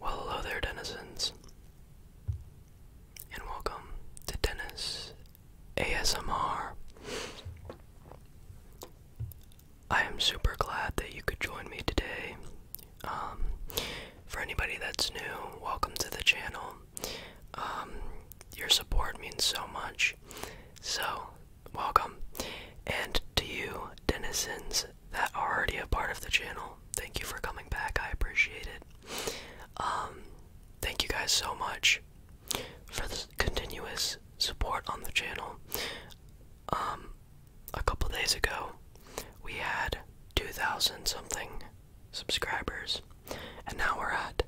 Well, hello there, denizens, and welcome to Dennis ASMR. I am super glad that you could join me today. Um, for anybody that's new, welcome to the channel. Um, your support means so much. So, welcome. And to you, denizens that are already a part of the channel, thank you for coming back. I appreciate it. Um, thank you guys so much for the continuous support on the channel. Um, a couple days ago, we had 2,000 something subscribers, and now we're at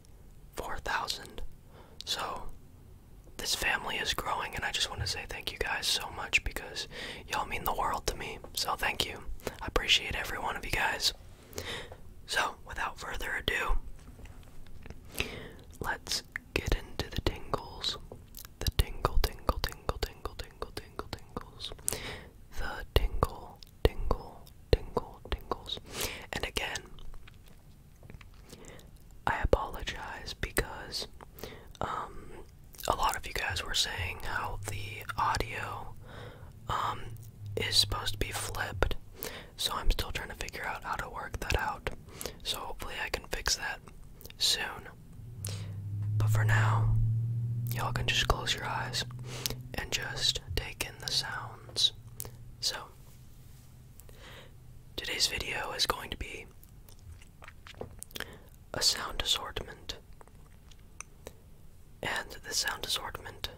4,000. So, this family is growing, and I just want to say thank you guys so much because y'all mean the world to me. So, thank you. I appreciate every one of you guys. So, without further ado, let's get into the tingles. The tingle, tingle, tingle, tingle, tingle, tingle, tingles. The tingle, tingle, tingle, tingles. And again, I apologize because um, a lot of you guys were saying how the audio um, is supposed to be flipped. So I'm still trying to figure out how to work that out. So hopefully I can fix that soon. But for now, y'all can just close your eyes and just take in the sounds. So, Today's video is going to be a sound assortment, and the sound assortment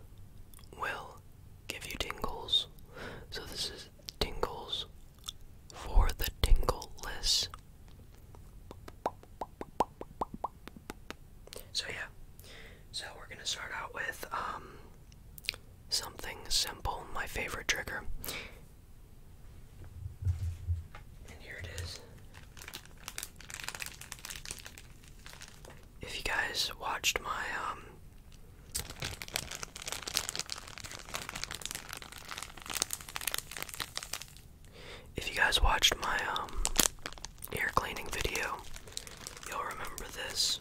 will give you tingles. So, this is tingles for the tingle list. So, yeah, so we're gonna start out with um, Something simple, my favorite trigger. And here it is. If you guys watched my, um, if you guys watched my, um, ear cleaning video, you'll remember this.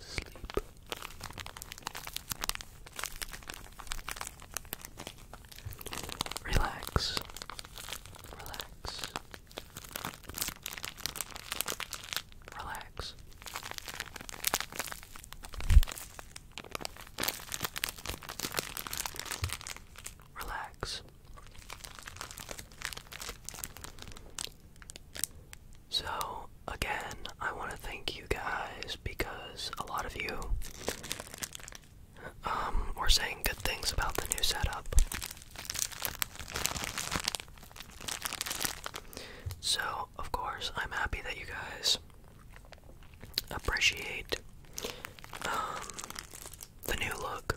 sleep. Relax. Relax. Relax. Relax. So, again, I want to thank you guys because a lot of you um, were saying good things about the new setup. So, of course, I'm happy that you guys appreciate um, the new look.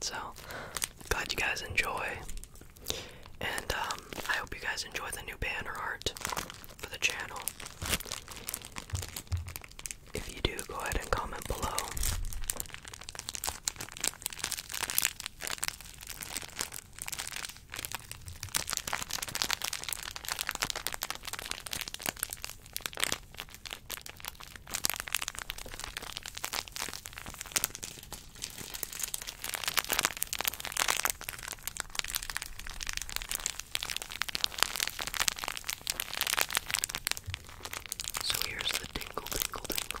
So, glad you guys enjoy and um, I hope you guys enjoy the new banner art for the channel. If you do, go ahead and comment below. So here's the tingle, tingle, tingles.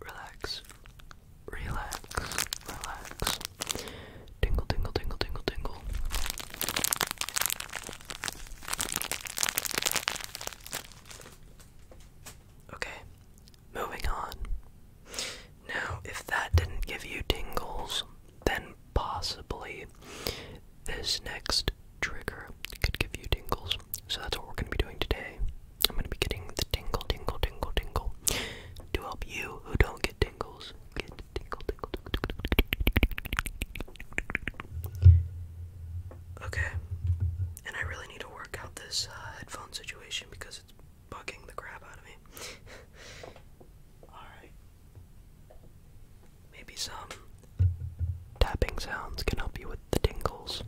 relax, relax, relax. Tingle, tingle, tingle, tingle, tingle. Okay, moving on. Now, if that didn't give you tingles, then possibly this next trigger could give you tingles. So that's what we're going to be doing today. I'm going to be getting the tingle, tingle, tingle, tingle to help you who don't get tingles Okay. And I really need to work out this uh, headphone situation because it's bugging the crap out of me. Alright. Maybe some Tapping sounds can help you with the tingles.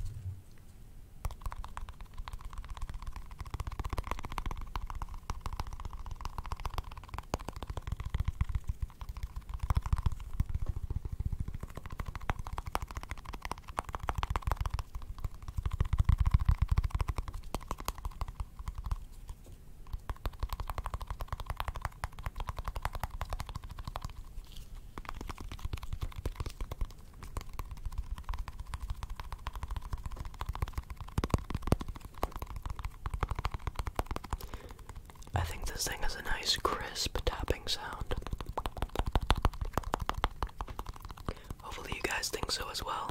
I think this thing has a nice crisp tapping sound. Hopefully, you guys think so as well.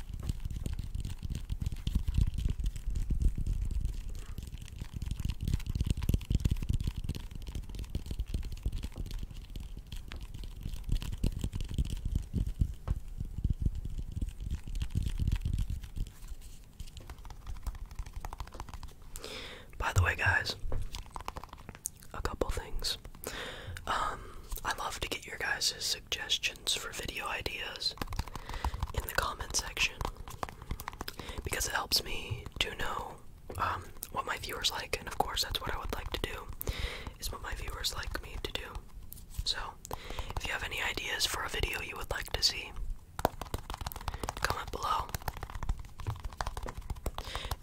By the way, guys, a couple things. Um, I love to get your guys' suggestions for video ideas in the comment section because it helps me to know um, what my viewers like, and of course, that's what I would like to do is what my viewers like me to do. So, if you have any ideas for a video you would like to see, comment below.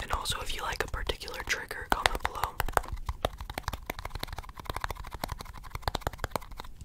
And also, if you like a particular trigger, comment below.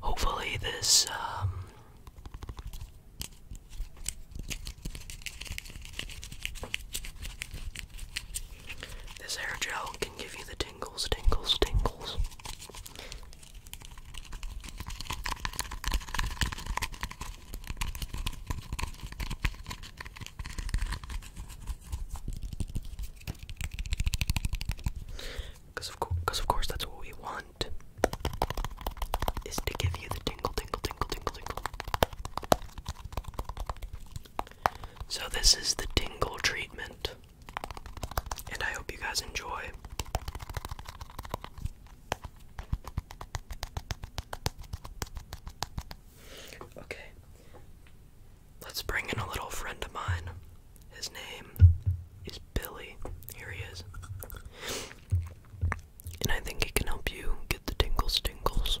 Hopefully, this um, this hair gel can give you the tingles, tingles, tingles. Because of, of course, that's what we want. Is to give you the tingle, tingle, tingle, tingle, tingle. So, this is the tingle treatment. And I hope you guys enjoy. Okay. Let's bring in a little friend of mine. His name is Billy. Here he is. And I think he can help you get the tingles tingles.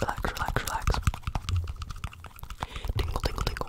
Relax, relax, relax. Tingle, tingle, tingle.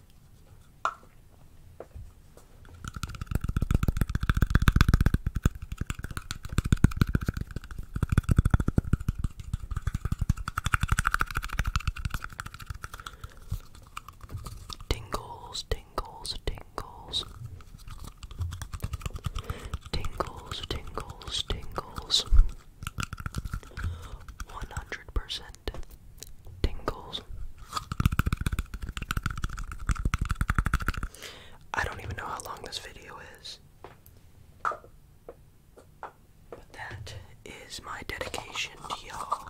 Tingles, tingles, tingles. Tingles, tingles, tingles. 100% and tingles. I don't even know how long this video is. But that is my dedication to y'all.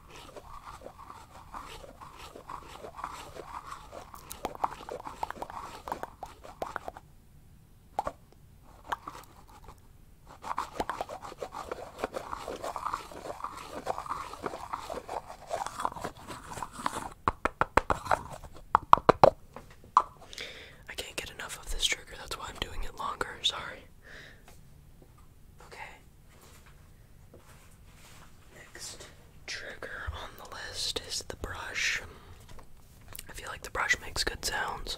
I can't get enough of this trigger, that's why I'm doing it longer. Sorry. Okay. Next trigger on the list is the brush. I feel like the brush makes good sounds.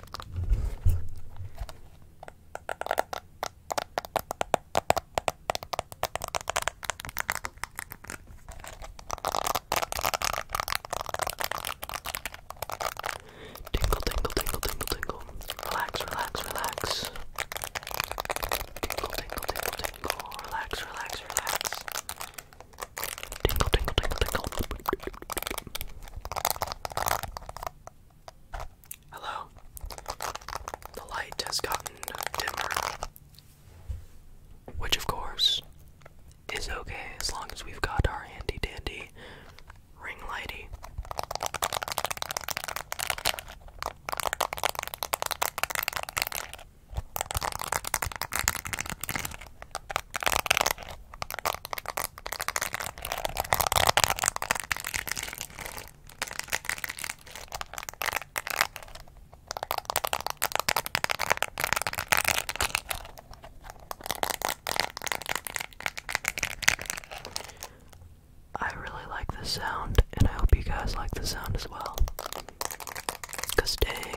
Tingle, tingle, tingle, tingle, tingle. Relax, relax, relax. Tingle, tingle, tingle, tingle. Relax, relax, relax. Tinkle, tinkle, tinkle, tinkle. Hello. The light has gotten dimmer. Which, of course, is okay as long as we've got our handy dandy ring lighty. I really like this sound, and I hope you guys like the sound as well. Cause dang.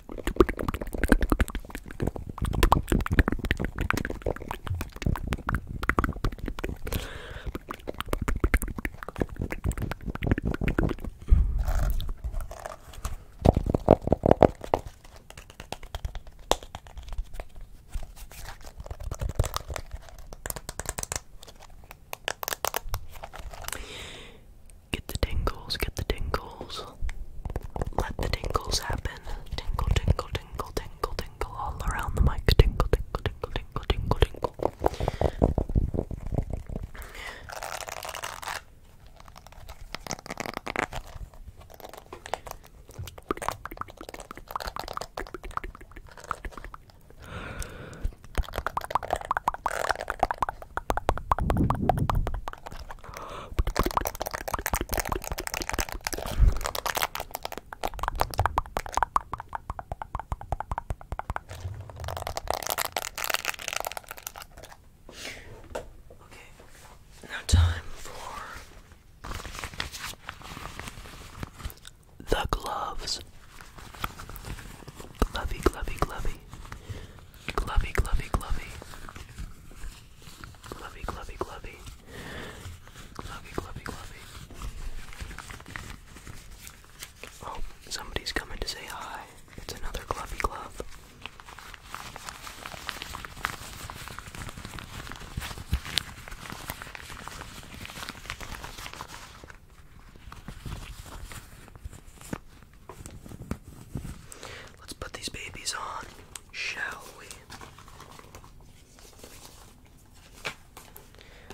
Get the tingles, get the tingles. Let the tingles happen. Tingle, tingle, tingle, tingle, tingle all around the mic. Tingle, tingle, tingle, tingle, tingle, tingle. Okay, now time for the gloves. Glovey, glovey, glovey. Glovey, glovey, glovey. Glovey, glovey, glovey. Glovey, glovey, glovey. Oh, somebody's coming to say hi. It's another glovey glove. Let's put these babies on, shall we?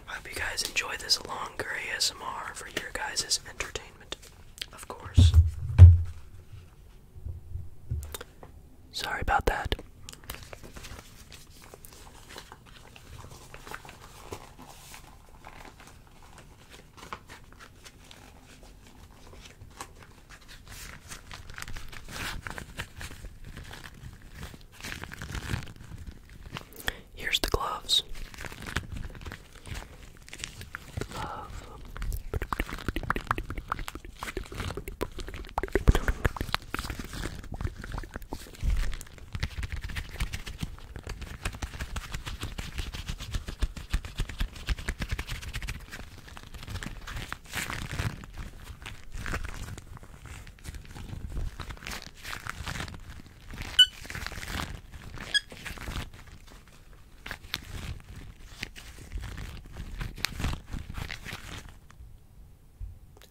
I hope you guys enjoy this long gray ASMR for your guys' entertainment, of course. Sorry about that. Here's the gloves.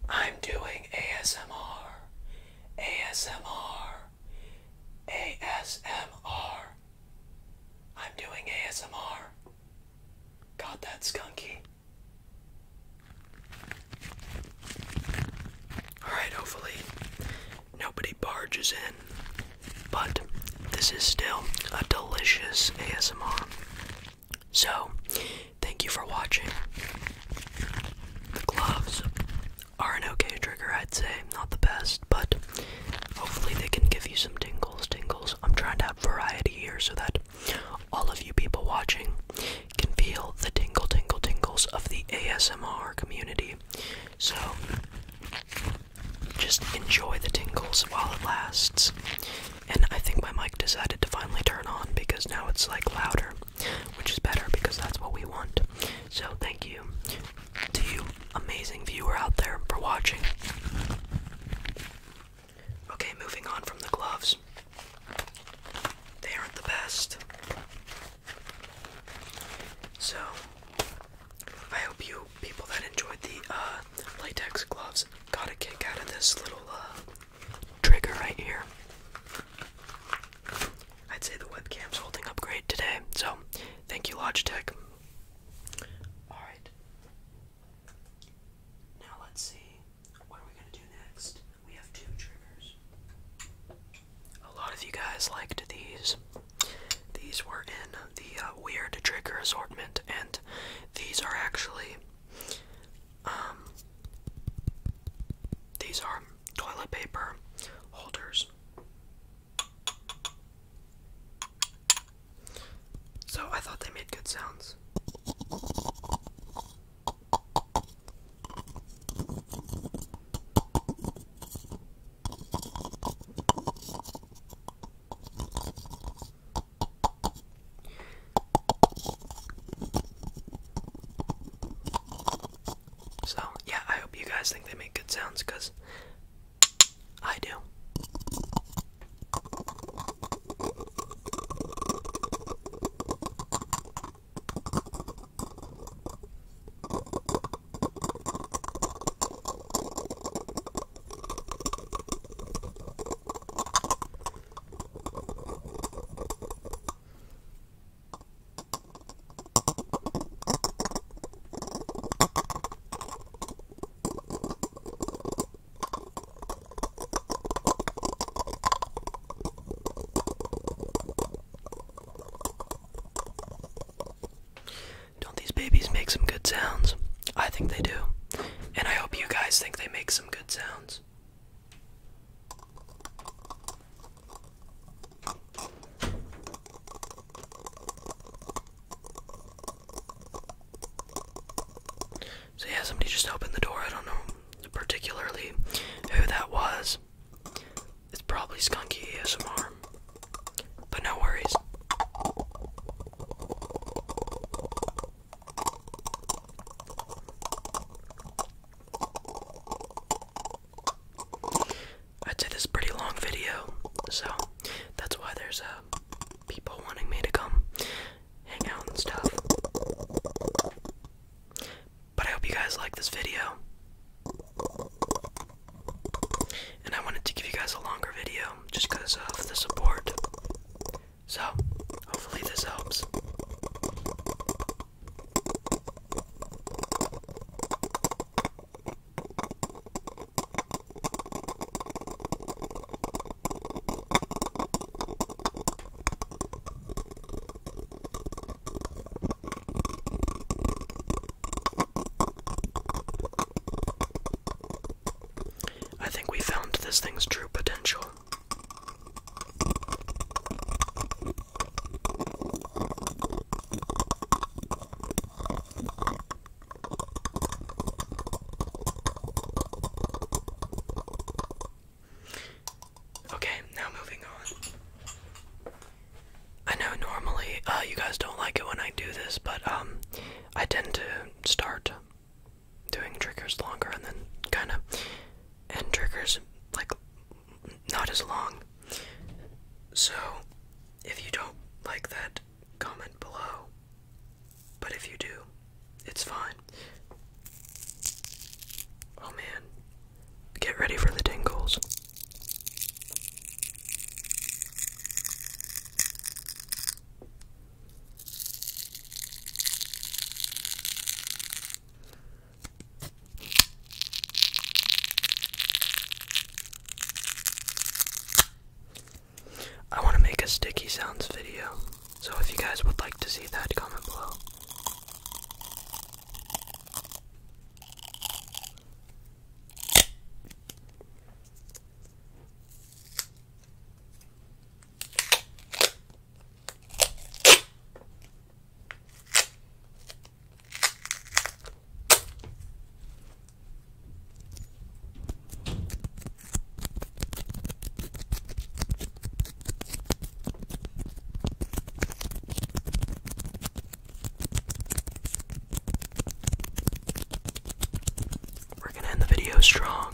I'm doing ASMR, ASMR, ASMR, I'm doing ASMR. Got that skunky. Alright, hopefully nobody barges in. But this is still a delicious ASMR. So, thank you for watching. The gloves are an okay trigger, I'd say. Not the best but hopefully they can give you some tingles, tingles. I'm trying to have variety here so that all of you people watching can feel the tingle, tingle, tingles of the ASMR community. So just enjoy the tingles while it lasts. And I think my mic decided to finally turn on because now it's like louder, which is better because that's what we want. So thank you to you, amazing viewer out there, for watching. Okay, moving on from the gloves. They aren't the best. So, I hope you people that enjoyed the uh, latex gloves got a kick out of this little uh, trigger right here. I'd say the webcam's holding up great today, so thank you, Logitech. Alright. Now let's see. What are we going to do next? We have two triggers. A lot of you guys liked these. These were in the uh, weird trigger assortment, and these are actually. Um, these are toilet paper holders. So I thought they made good sounds. So, yeah, I hope you guys think they make good sounds because I do. Don't these babies make some good sounds? I think they do. And I hope you guys think they make some good sounds. So yeah, somebody just opened the door. I don't know particularly who that was. It's probably Skunky ASMR. But no worries. I'd say this is a pretty long video, so that's why there's uh, people wanting me to come hang out and stuff. But I hope you guys like this video. And I wanted to give you guys a longer video just because of the support. So, hopefully, this helps. I think we found this thing's true potential. Okay, now moving on. I know normally uh, you guys don't like it when I do this, but um, I tend to start doing triggers longer and then kind of end triggers like not as long. So, if you don't like that, comment below. But if you do, it's fine. Oh man, get ready for the tingles. I want to make a sticky sounds video, so if you guys would like to see that, comment below. We're going to end the video strong.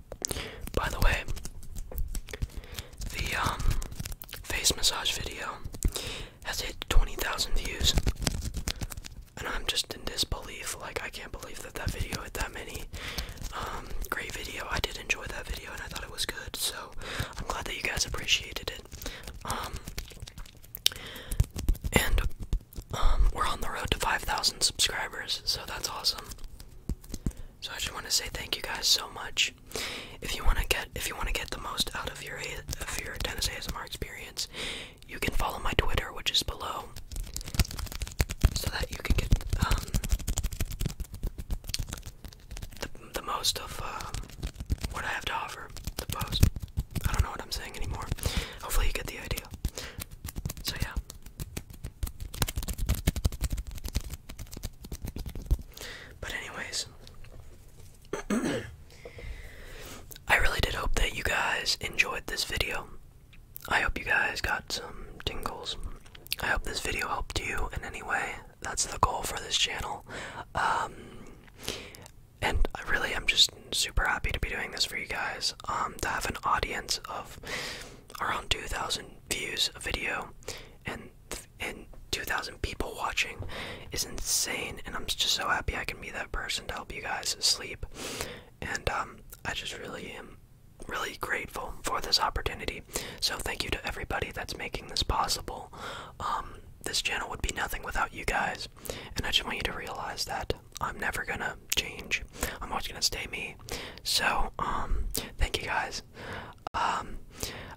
By the way, the um, face massage video has hit 20,000 views. And I'm just in disbelief. Like I can't believe that that video hit that many. Um, great video. I did enjoy that video and I thought it was good. So I'm glad that you guys appreciated it. Um, and we're on the road to 5,000 subscribers. So that's awesome. So I just want to say thank you guys so much. If you want to get if you want to get the most out of your of your Dennis ASMR experience, you can follow my Twitter, which is below, so that you can get um, the the most of um, what I have to offer. The post. I don't know what I'm saying anymore. Hopefully you get the idea. So yeah, but, anyways, I really did hope that you guys enjoyed this video. I hope you guys got some tingles. I hope this video helped you in any way. That's the goal for this channel. Um, and I am just super happy to be doing this for you guys. Um, to have an audience of around 2,000 views a video, and and 2,000 people watching is insane. And I'm just so happy I can be that person to help you guys sleep. And um, I just really am really grateful for this opportunity. So thank you to everybody that's making this possible. Um, this channel would be nothing without you guys, and I just want you to realize that. I'm never gonna change. I'm always gonna stay me. So, um, thank you guys. Um,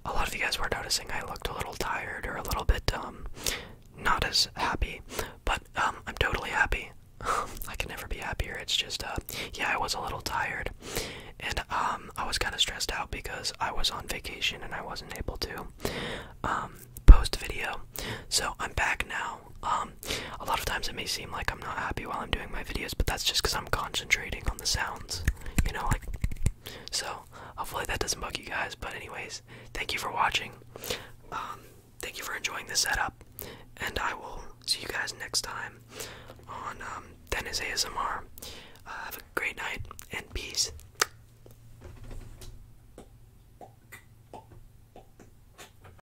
a lot of you guys were noticing I looked a little tired or a little bit, um, not as happy, but, um, I'm totally happy. I can never be happier. It's just, uh, yeah, I was a little tired. And, um, I was kind of stressed out because I was on vacation and I wasn't able to, um, post video. So I'm back now. Um, a lot of times it may seem like I'm not happy while I'm doing my videos, but that's just because I'm concentrating on the sounds, you know, like. So hopefully that doesn't bug you guys. But anyways, thank you for watching. Um, thank you for enjoying the setup, and I will see you guys next time on um, ASMR. Uh, have a great night and peace.